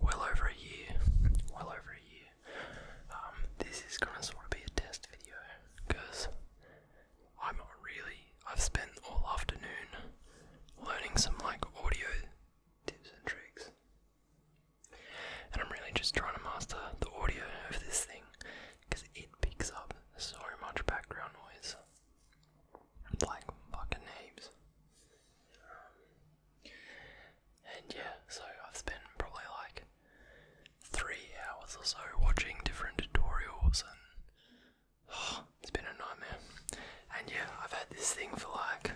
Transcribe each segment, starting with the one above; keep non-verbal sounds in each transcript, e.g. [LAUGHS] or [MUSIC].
well over a year, well over a year. Um, this is gonna sort of be a test video because I'm not really. I've spent all afternoon learning some like audio tips and tricks, and I'm really just trying to master the audio of this thing because it picks up so much background noise, like fucking names. And yeah, so I've spent probably like three hours or so watching different tutorials, and oh, it's been a nightmare. And yeah, I've had this thing for like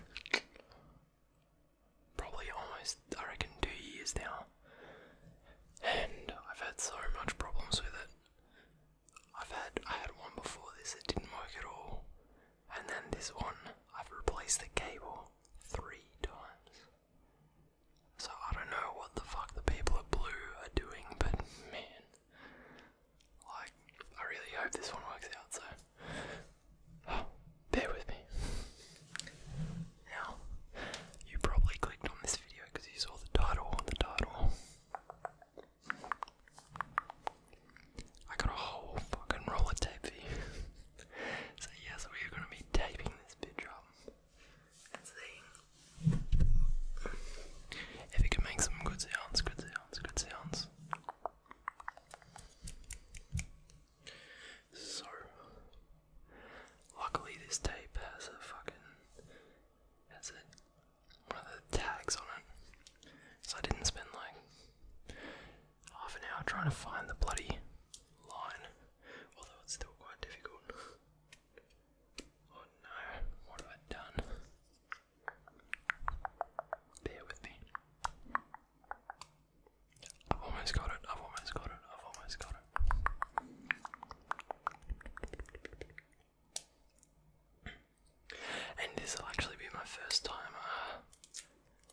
probably almost, I reckon, two years now. And I've had so much problems with it. I've had I had one before this that didn't work at all. And then this one, I've replaced the cable three times. So I don't know what the fuck the people at Blue are doing, but man, like, I really hope this one works out, so bear with me. Now, you probably clicked on this video because you saw the title on the title. I got a whole fucking roll of tape for [LAUGHS] so yes, we are gonna be taping this bitch up. Let's see. If it can make some good sounds, good sounds, good sounds. So, luckily this tape has a fucking, has a, one of the tags on it, so I didn't spend like half an hour trying to find the bloody line, although it's still quite difficult. Oh no, what have I done? Bear with me. I've almost got it, I've almost got it, I've almost got it. And this will actually be my first time uh, I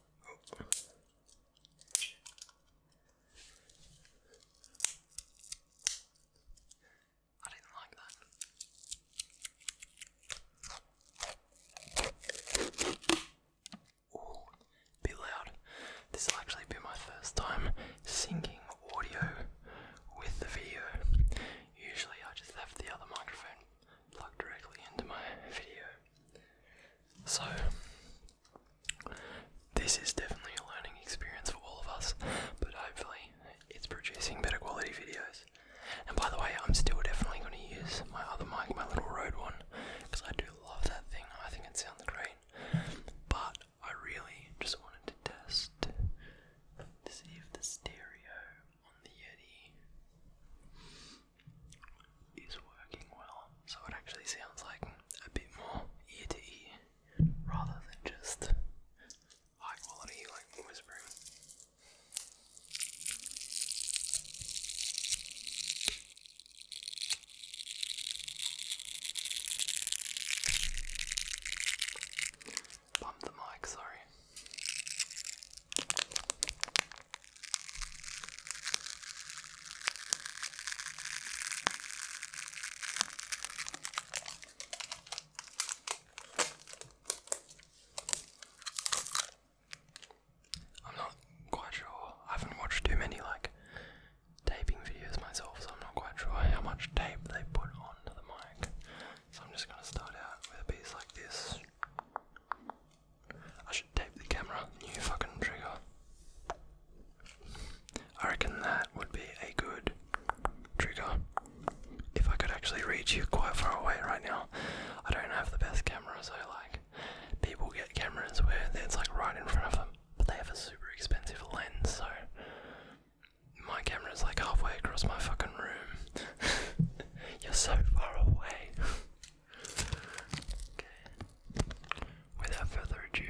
didn't like that. Ooh, loud. This will actually be my first time singing audio with the video. Usually I just have the other microphone plug directly into my video. So, this is definitely a learning experience for all of us, but hopefully, it's producing better quality videos. And by the way, I'm still definitely going to use my other mic, my little Rode one, because I do love that thing. I think it sounds great. But I really just wanted to test to see if the stereo on the Yeti is working well, so it actually sounds like a bit more ear to ear rather than just high quality like whispering. Bump the mic, sorry. I'm not quite sure. I haven't watched too many like taping videos myself, so I'm not quite sure how much tape they put onto the mic. So I'm just gonna start out with a piece like this. I should tape the camera. New fucking trigger. I reckon that would be a good trigger. If I could actually reach you quite far away right now. I don't have the best camera, so like people get cameras where it's like right in front of them, but they have a super expensive lens, so my camera is like halfway across my fucking room. [LAUGHS] You're so far away. [LAUGHS] Without further ado,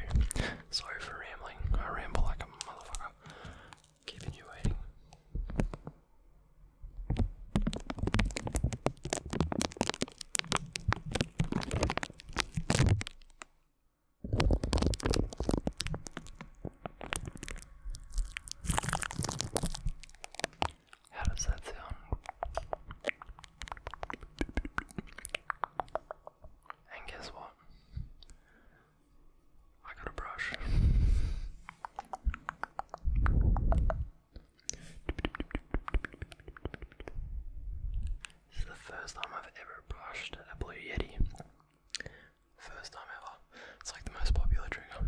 sorry for rambling. I ramble like a motherfucker. Keeping you waiting. How does that sound? And guess what? I got a brush. This is the first time I've ever brushed a Blue Yeti. First time ever. It's like the most popular trigger.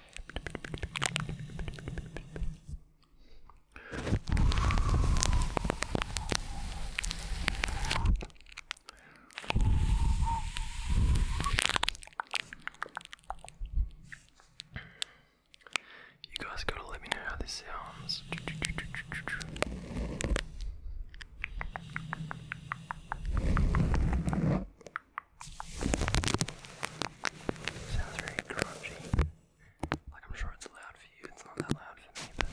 You guys gotta let me know how this sounds. Sounds very grungy. Like I'm sure it's loud for you, it's not that loud for me, but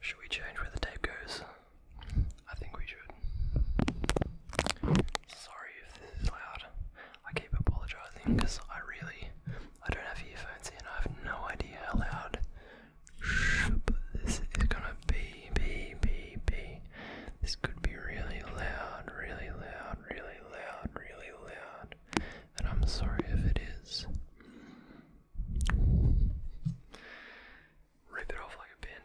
should we change where the tape goes? I think we should. Sorry if this is loud. I keep apologizing because I really I don't have earphones in. I have no idea how loud this is gonna be, be, be, be. This could be really loud, really loud, really loud, really loud. And I'm sorry if it is. Rip it off like a band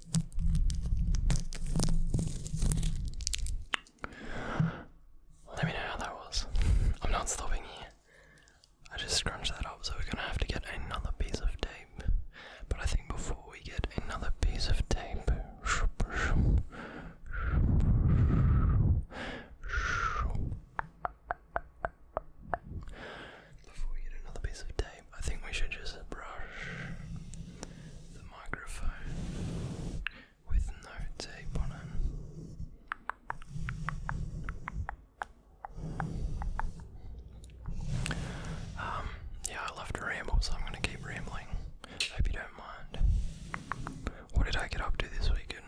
Let me know how that was. I'm not stopping here. I just scrunched that up, so we're gonna have to get another piece of tape. But I think before we get another piece of tape, before we get another piece of tape, I think we should just brush microphone with no tape on it. Um, yeah, I love to ramble, so I'm gonna keep rambling. Hope you don't mind. What did I get up to this weekend?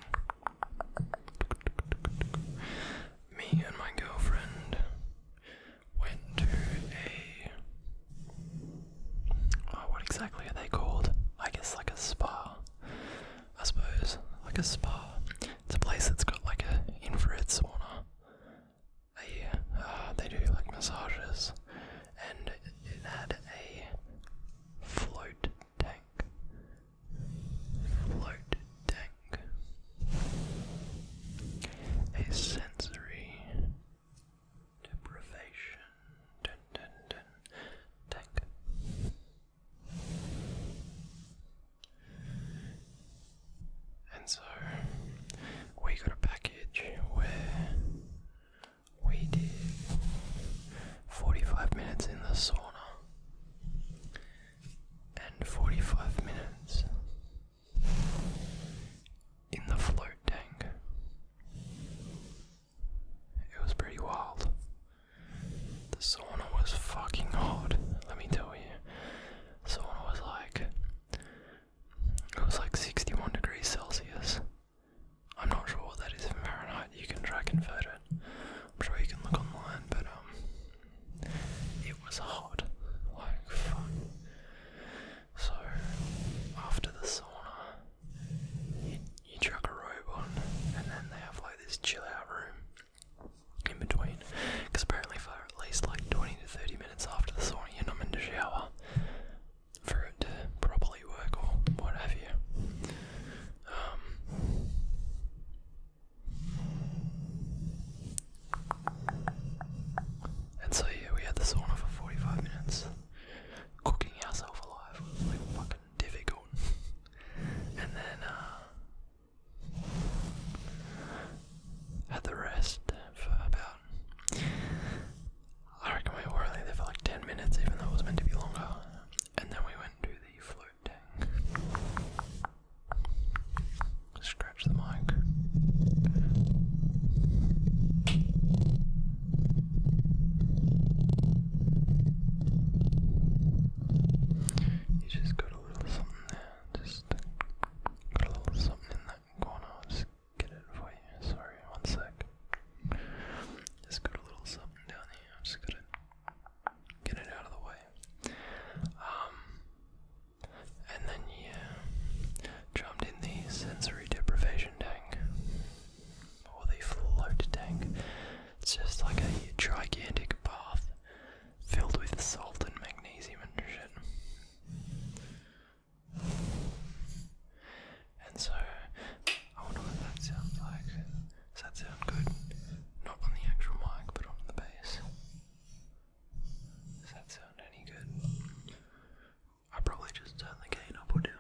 Me and my girlfriend went to a Oh, what exactly are they called? I guess like a spa. I suppose like a spa. It's a place that's got like a infrared sauna. They uh, they do like massages, and it had a float tank. Float tank. A sensory Deprivation. Dun, And so we got a package where we did 45 minutes in the sauna and 45 minutes in the float tank. It was pretty wild. The sauna was fucking hot, let me tell you. The sauna was like. It was like 61 degrees Celsius. I'm not sure what that is in Fahrenheit, you can try convert it. I'm sure you can look online, but um. It was hot. Like, fuck. So after the sauna, you, you chuck a robe on, and then they have like this chill out room in between. Because apparently, for at least like 20 to 30 minutes after the sauna, you're not meant to shower for it to properly work or what um, and so yeah, we had the sauna for 45 minutes, cooking ourselves alive like fucking difficult. [LAUGHS] and then had uh, the rest for about I reckon we were only there for like ten minutes even though it was meant to be longer. And then we went to the float tank. Scratch the mic. You just got a little something there, just got a little something in that corner, I'll just get it for you, sorry, one sec. Just got a little something down here, I'm just gonna get it out of the way. Um, and then yeah, jumped in the sensory deprivation tank or the float tank. It's just like a gigantic bath filled with salt and magnesium and And so, I wonder what that sounds like. Does that sound good? Not on the actual mic, but on the bass. Does that sound any good? I probably just turn the gain up or down.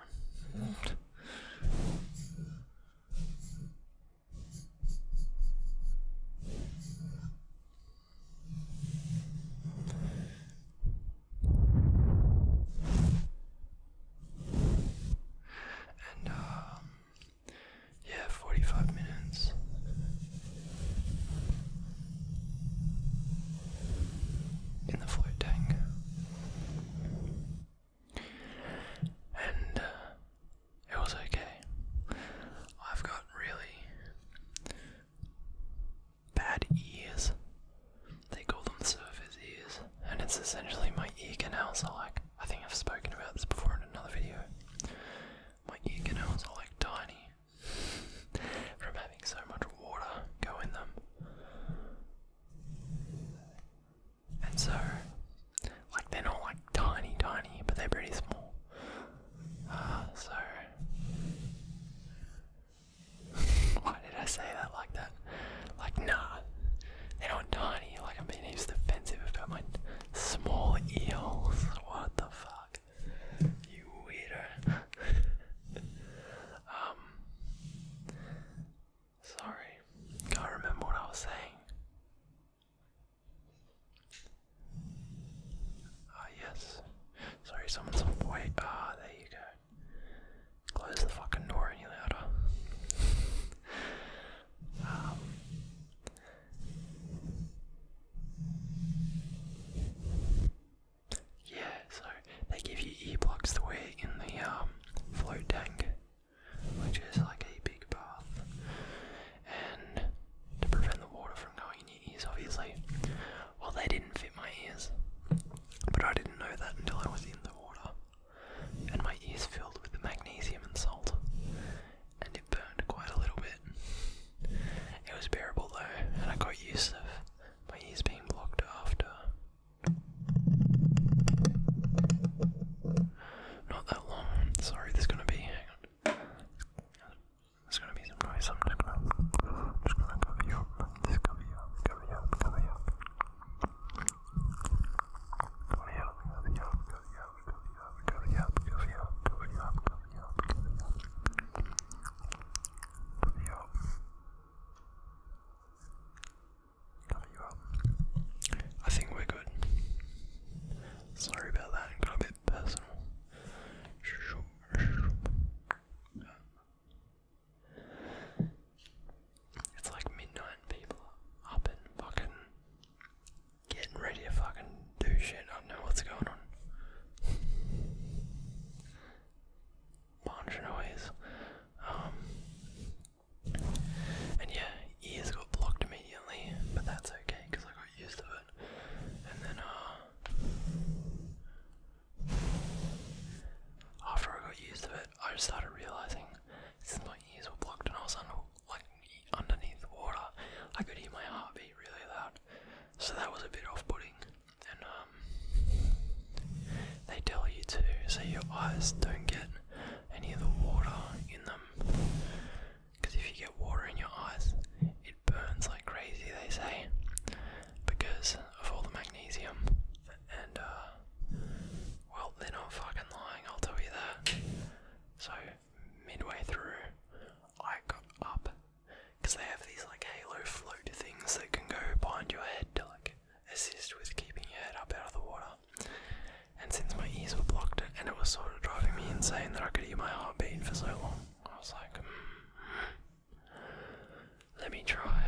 And um, yeah, forty five minutes in the tank, And uh, it was okay. I've got really bad ears. They call them surface ears, and it's essentially my ear canals are like. I think I've spoken about this before in another video. My ear canals are like tiny [LAUGHS] from having so much water go in them. And so, like, they're not like tiny, tiny, but they're pretty small. Uh, so, [LAUGHS] why did I say that like that? Like, nah, they're not tiny. Like, I'm being defensive about my small eels. [LAUGHS] What the fuck? You weirdo. [LAUGHS] Um, sorry, can't remember what I was saying. Ah, yes. Sorry, someone's on point. Ah, there you go. Close the fucking door any louder. Um, yeah, so they give you ear plugs to wear in the um, float tank, which is like a big bath, and to prevent the water from going in your ears, obviously. Well, they didn't fit my ears, but I didn't know that until I was in the water, and my ears filled with the magnesium and salt, and it burned quite a little bit. It was bearable though, and I got used to it but he's being blocked after. Not that long. Sorry, there's gonna be. There's gonna be some noise. I'm just gonna, just gonna cover you Just cover you Cover you Cover you Cover you Cover you Cover you Cover you Cover you Cover you Cover you Cover you I think we're good. Sorry about that, got a bit personal. It's like midnight, people are up and fucking getting ready to fucking do shit. I don't know what's going on punch noise. Um, and yeah, ears got blocked immediately, but that's okay because I got used to it. And then, uh, after I got used to it, I just started realizing since my ears were blocked and I was under, like underneath water, I could hear my heartbeat really loud. So that was a bit off-putting and um, they tell you to, so your eyes don't get any of the water in them. Because if you get water in your eyes, it burns like crazy, they say, because of all the magnesium. And, uh, well, they're not fucking lying, I'll tell you that. So, midway through, I got up because they have these like halo float things that can go behind your head to like assist with keeping your head up out of the water. And since my ears were blocked, and it was sort of driving me insane that I could hear my heartbeat for so long, I was like, hmm, let me try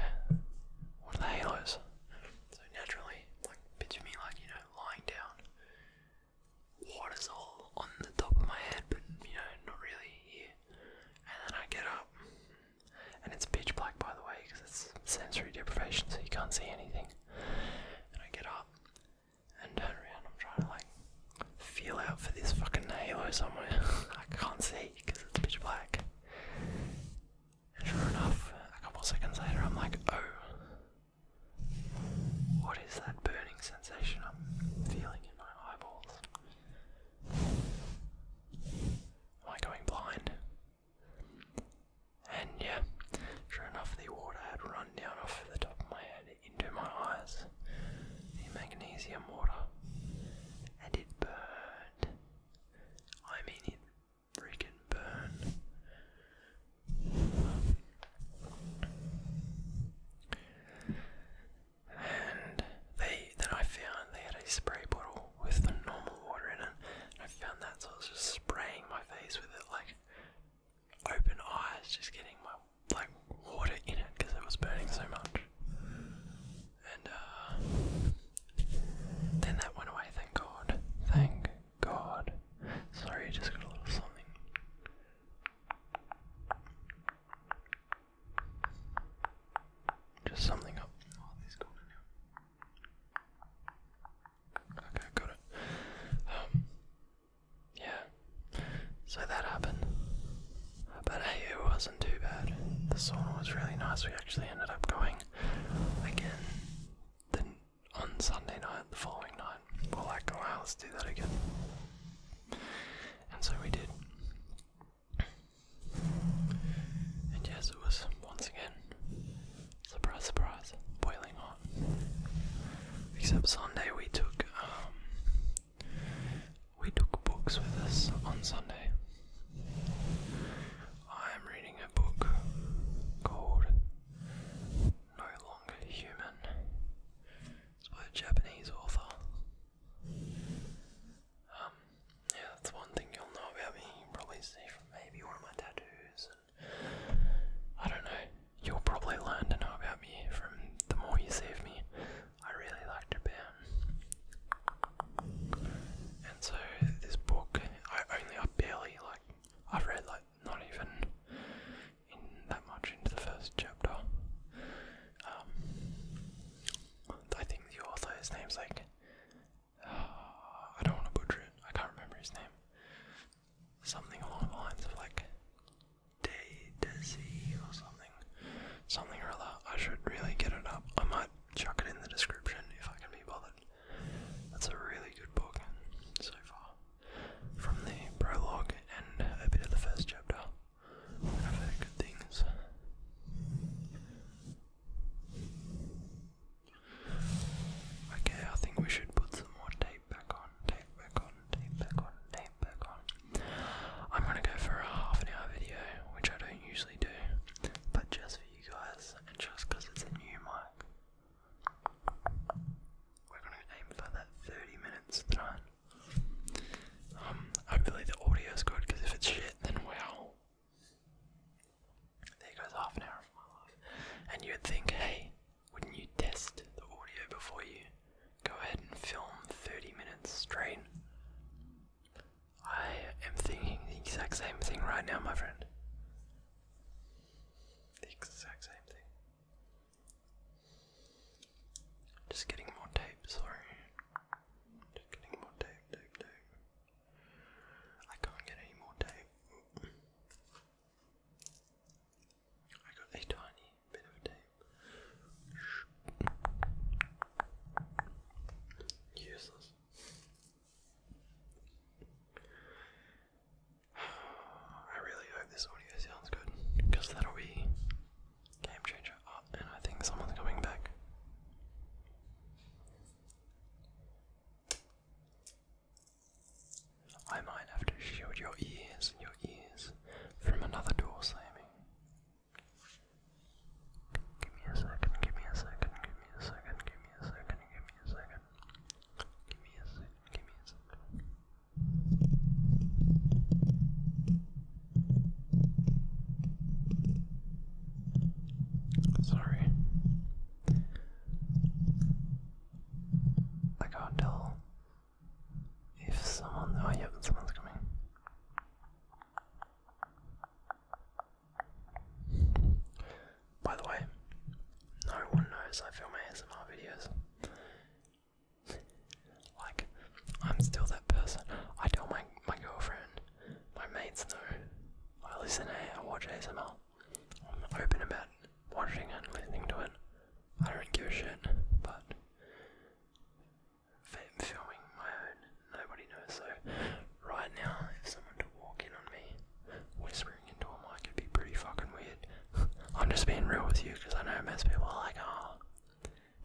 one of the halos. So naturally, like picture me like you know lying down, water's all on the top of my head, but you know not really here. And then I get up, and it's pitch black by the way because it's sensory deprivation, so you can't see anything. And I get up and turn around. I'm trying to like feel out for this fucking halo somewhere. [LAUGHS] I can't see because it's pitch black. And sure enough, a couple seconds later, I'm like, oh, what is that burning sensation I'm feeling in my eyeballs? Am I going blind? And yeah, sure enough, the water had run down off the top of my head into my eyes. The magnesium water. And it burned. I mean, it freaking burned and they then I found they had a spray bottle with the normal water in it. And I found that, so I was just spraying my face with it, like open eyes, just getting my like water in it because it was burning so much. And uh, then that went away. Thank God. Thank God. Sorry, I just got a little something. Just something up. Oh, okay, got it. Um, yeah. So that happened. But hey, it wasn't too bad. The sauna was really nice. We actually ended up going again then on Sunday night, the following night. We're like, wow, let's do that again. And so we did. And yes, it was once again, surprise, surprise, boiling hot. Except Sunday we took, um, we took books with us on Sunday. I am reading a book called No Longer Human. It's by a Japanese author. Um, yeah, that's one thing you'll know about me. You probably see from maybe one of my tattoos, and I don't know. You'll probably learn to know about me from the more you see of me. I really like Japan, and so this book, I only, I barely like, I've read like not even that much into the first chapter. Um, I think the author, his name's like. [SIGHS] I don't want to butcher it. I can't remember his name. Something along the lines of like. Day or something. Something or other. I should really get it up. I might chuck it in the description if I can be bothered. That's a really good book so far. From the prologue and a bit of the first chapter good things. Okay, I think we should put some more tape back on, tape back on, tape back on, tape back on. I'm gonna go for a half an hour video, which I don't usually do, but just for you guys and just because it's a new mic. We're gonna aim for that 30 minutes tonight. Um, hopefully the audio's good because if it's shit, then wow, there goes half an hour of my life. And you'd think, hey, wouldn't you test the audio before you go ahead and film 30 minutes straight? I am thinking the exact same thing right now, my friend. The exact same thing. Just getting more tape, sorry. I can't get any more tape. I got a tiny bit of tape. Useless. [SIGHS] I really hope this audio sounds good because that'll be Game changer. Oh, and I think someone's coming back. I might have to shield your ears, your ears, from another door slamming. Give me a second, give me a second, give me a second, give me a second, give me a second. Give me a second, give me a second. Sorry. I can't tell if someone. Oh, yeah, someone's coming. By the way, no one knows I film ASMR videos. Like, I'm still that person. I tell my my girlfriend my mates know I listen to it. I watch ASMR. I'm open about watching and listening to it. I don't give a shit, but filming my own, nobody knows. So right now, if someone to walk in on me, whispering into my mic, it'd be pretty fucking weird. [LAUGHS] I'm just being real with you because I know most people are like, oh,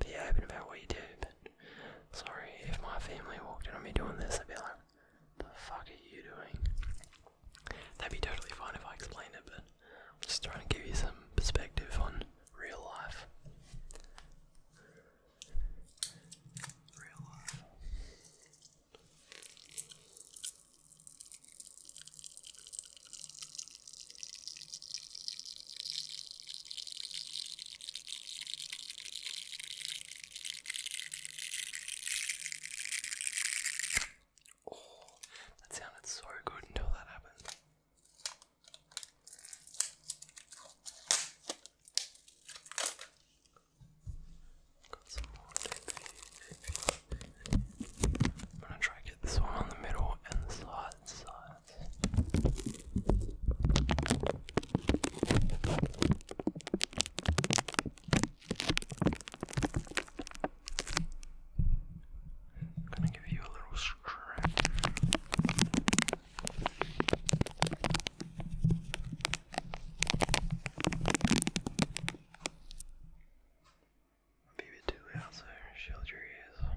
be open about what you do, but sorry, if my family walked in on me doing this, i would be like, the fuck are you doing? That'd be totally fine if I explained it, but I'm just trying to give you some perspective on real life. Real life. Oh, that sounded so good until that happened. Got some more I'm gonna try to get this one on the middle and the side side not. I'm gonna give you a little stretch. Maybe two out there, shield your ears.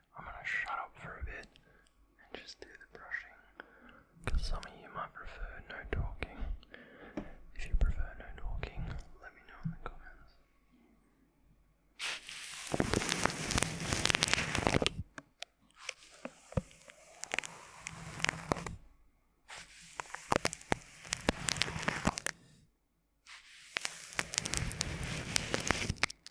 I'm gonna shut up for a bit and just do the brushing. Because some of you might prefer no talking. If you prefer no talking, let me know in the comments.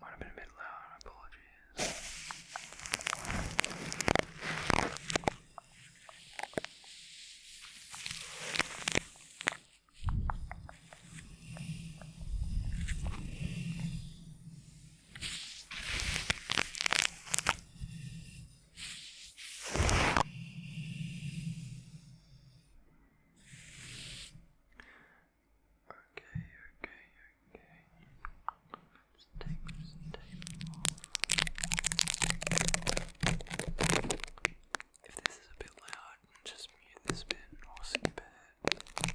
Might have been a bit loud, my apologies. Okay, okay, okay. Let's take this tape off. If this is a bit loud, just mute this bit or skip it. Okay,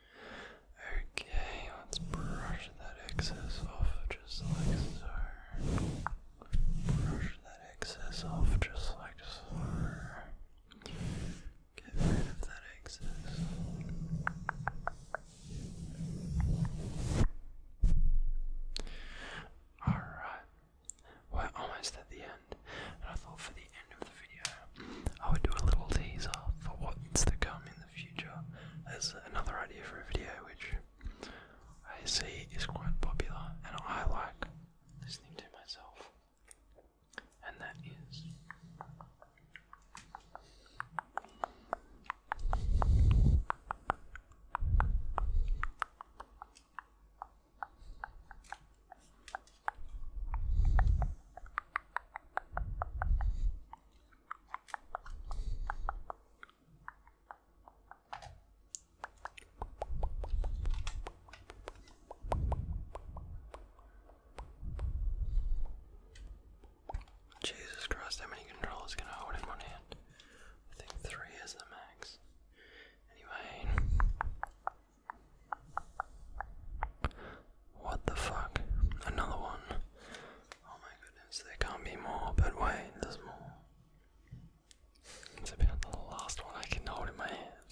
Okay, let's brush that excess off just like so. Brush that excess off just like so. Get rid of that excess. Alright, we're almost at the end, and I thought for the end of the video I would do a little teaser for what's to come in in the future as another idea for a video which I see is quite popular and I like listening to myself. And that is Jesus Christ, how many controllers can I hold in one hand? I think three is the max. Anyway. What the fuck? Another one. Oh my goodness, there can't be more, but wait, there's more. It's about the last one I can hold in my hands.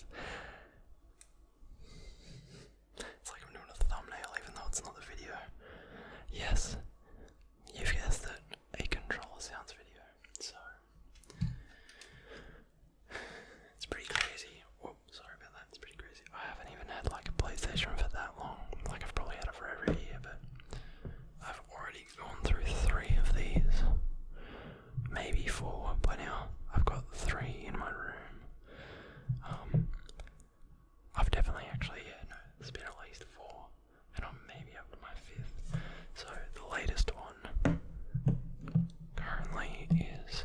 It's like I'm doing a thumbnail even though it's not the video. Yes, you've guessed it, a controller sounds video. So, it's pretty crazy. sorry about that, it's pretty crazy. I haven't even had like a PlayStation for that long. Like I've probably had it for every year, but I've already gone through three of these. Maybe four by now. I've got three in my room. Um, I've definitely actually yeah, no, it's been at least four. And I'm maybe up to my fifth. So the latest one currently is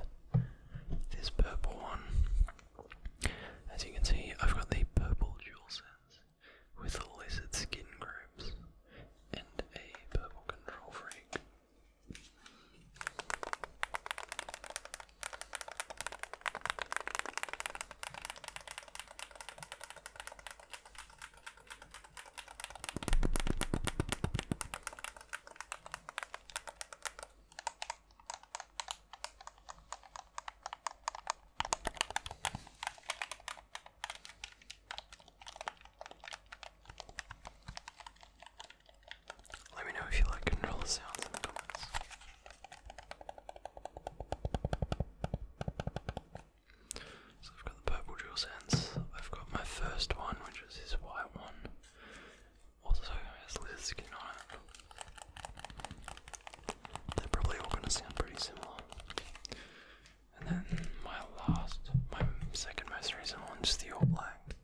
this purple one. As you can see, I've got the purple DualSense with lizard skin groups and a purple control freak. Let me know if you like controller sounds in the comments. So I've got the purple drill sense. I've got my first one, which is this white one. Also has lizard skin they're probably all going to sound pretty similar. And then my last, my second most recent one, just the All Black,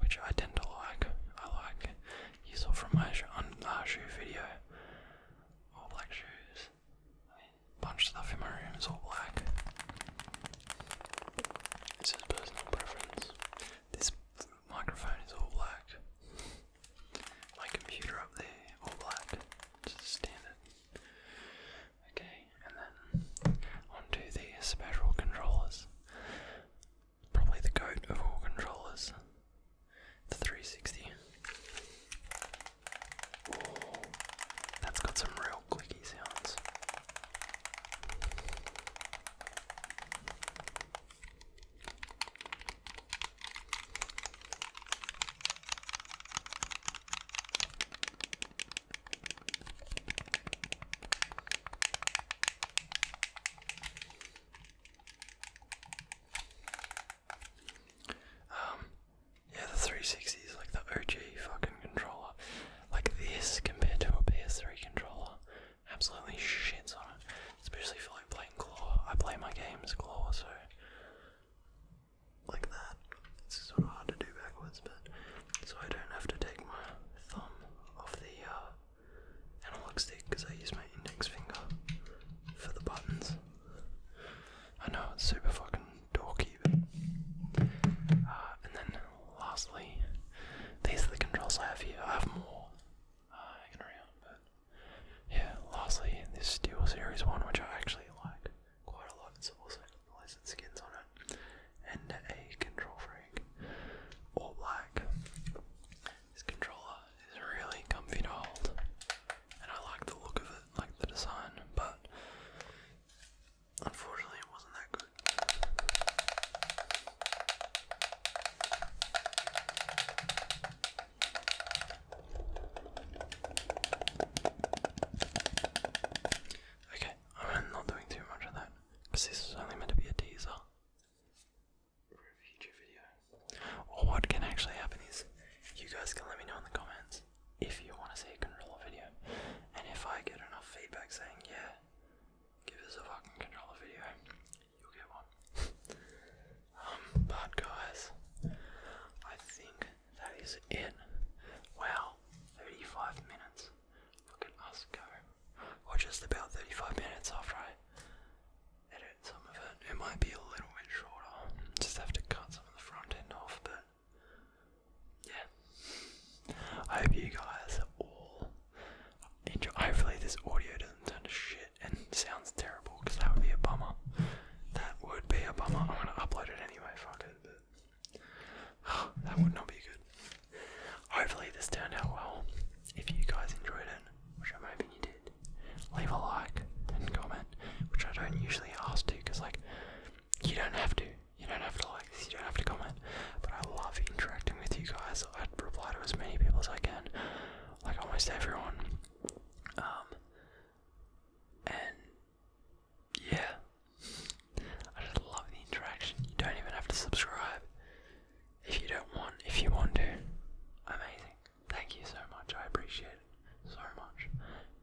which I tend to like. I like. You saw from my sh shoe video, All Black shoes. I bunch of stuff in my room is all black. This is personal preference. This microphone is all black. My computer up there, all black. Just standard. Okay, and then onto the special controllers. Probably the goat of all controllers. The 360. that's got some real clicky sounds. Um, yeah, the 360 is like the OG fucking controller. Like this compared to a PS3 controller absolutely shits on it. Especially for like playing claw. I play my games claw, so like that. It's sort of hard to do backwards, but so I don't have to take my thumb off the uh, analog stick because I use my index finger for the buttons. I know it's super fucking dorky, but uh, and then lastly, these are the controls I have here. I have more. Uh, I but yeah, lastly, this Steel Series one, which I actually like quite a lot, it's also got pleasant skins on it, and a control freak, all black. This controller is really comfy to hold, and I like the look of it, like the design, but unfortunately, it wasn't that good. Okay, I'm not doing too much of that because this is only meant to be a teaser for a future video. what can actually happen is you guys can let me know in the comments if you want to see a controller video, and if I get enough feedback saying yeah, give us a fucking controller video, um, but guys, I think that is it. Well, 35 minutes. Look at us go. Or just about 35 minutes after I edit some of it. It might be a little bit shorter. Just have to cut some of the front end off, but yeah. I hope you guys all enjoy. Hopefully, this audio doesn't turn to shit and sounds terrible because that would be a bummer. That would be a bummer. I'm gonna upload it anyway. Fuck it. But [SIGHS] that would not be good. Hopefully, this turned out well. If you guys enjoyed it, which I'm hoping you did, leave a like and comment, which I don't usually ask to because, like, you don't have to. You don't have to like this, you don't have to comment, but I love interacting with you guys. I'd reply to as many people as I can like almost everyone. Um, and yeah, I just love the interaction. You don't even have to subscribe if you don't want, if you want to. Amazing. Thank you so much. I appreciate so much.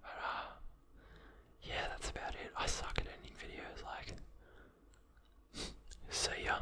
But, uh, yeah, that's about it. I suck at ending videos, like, [LAUGHS] see ya.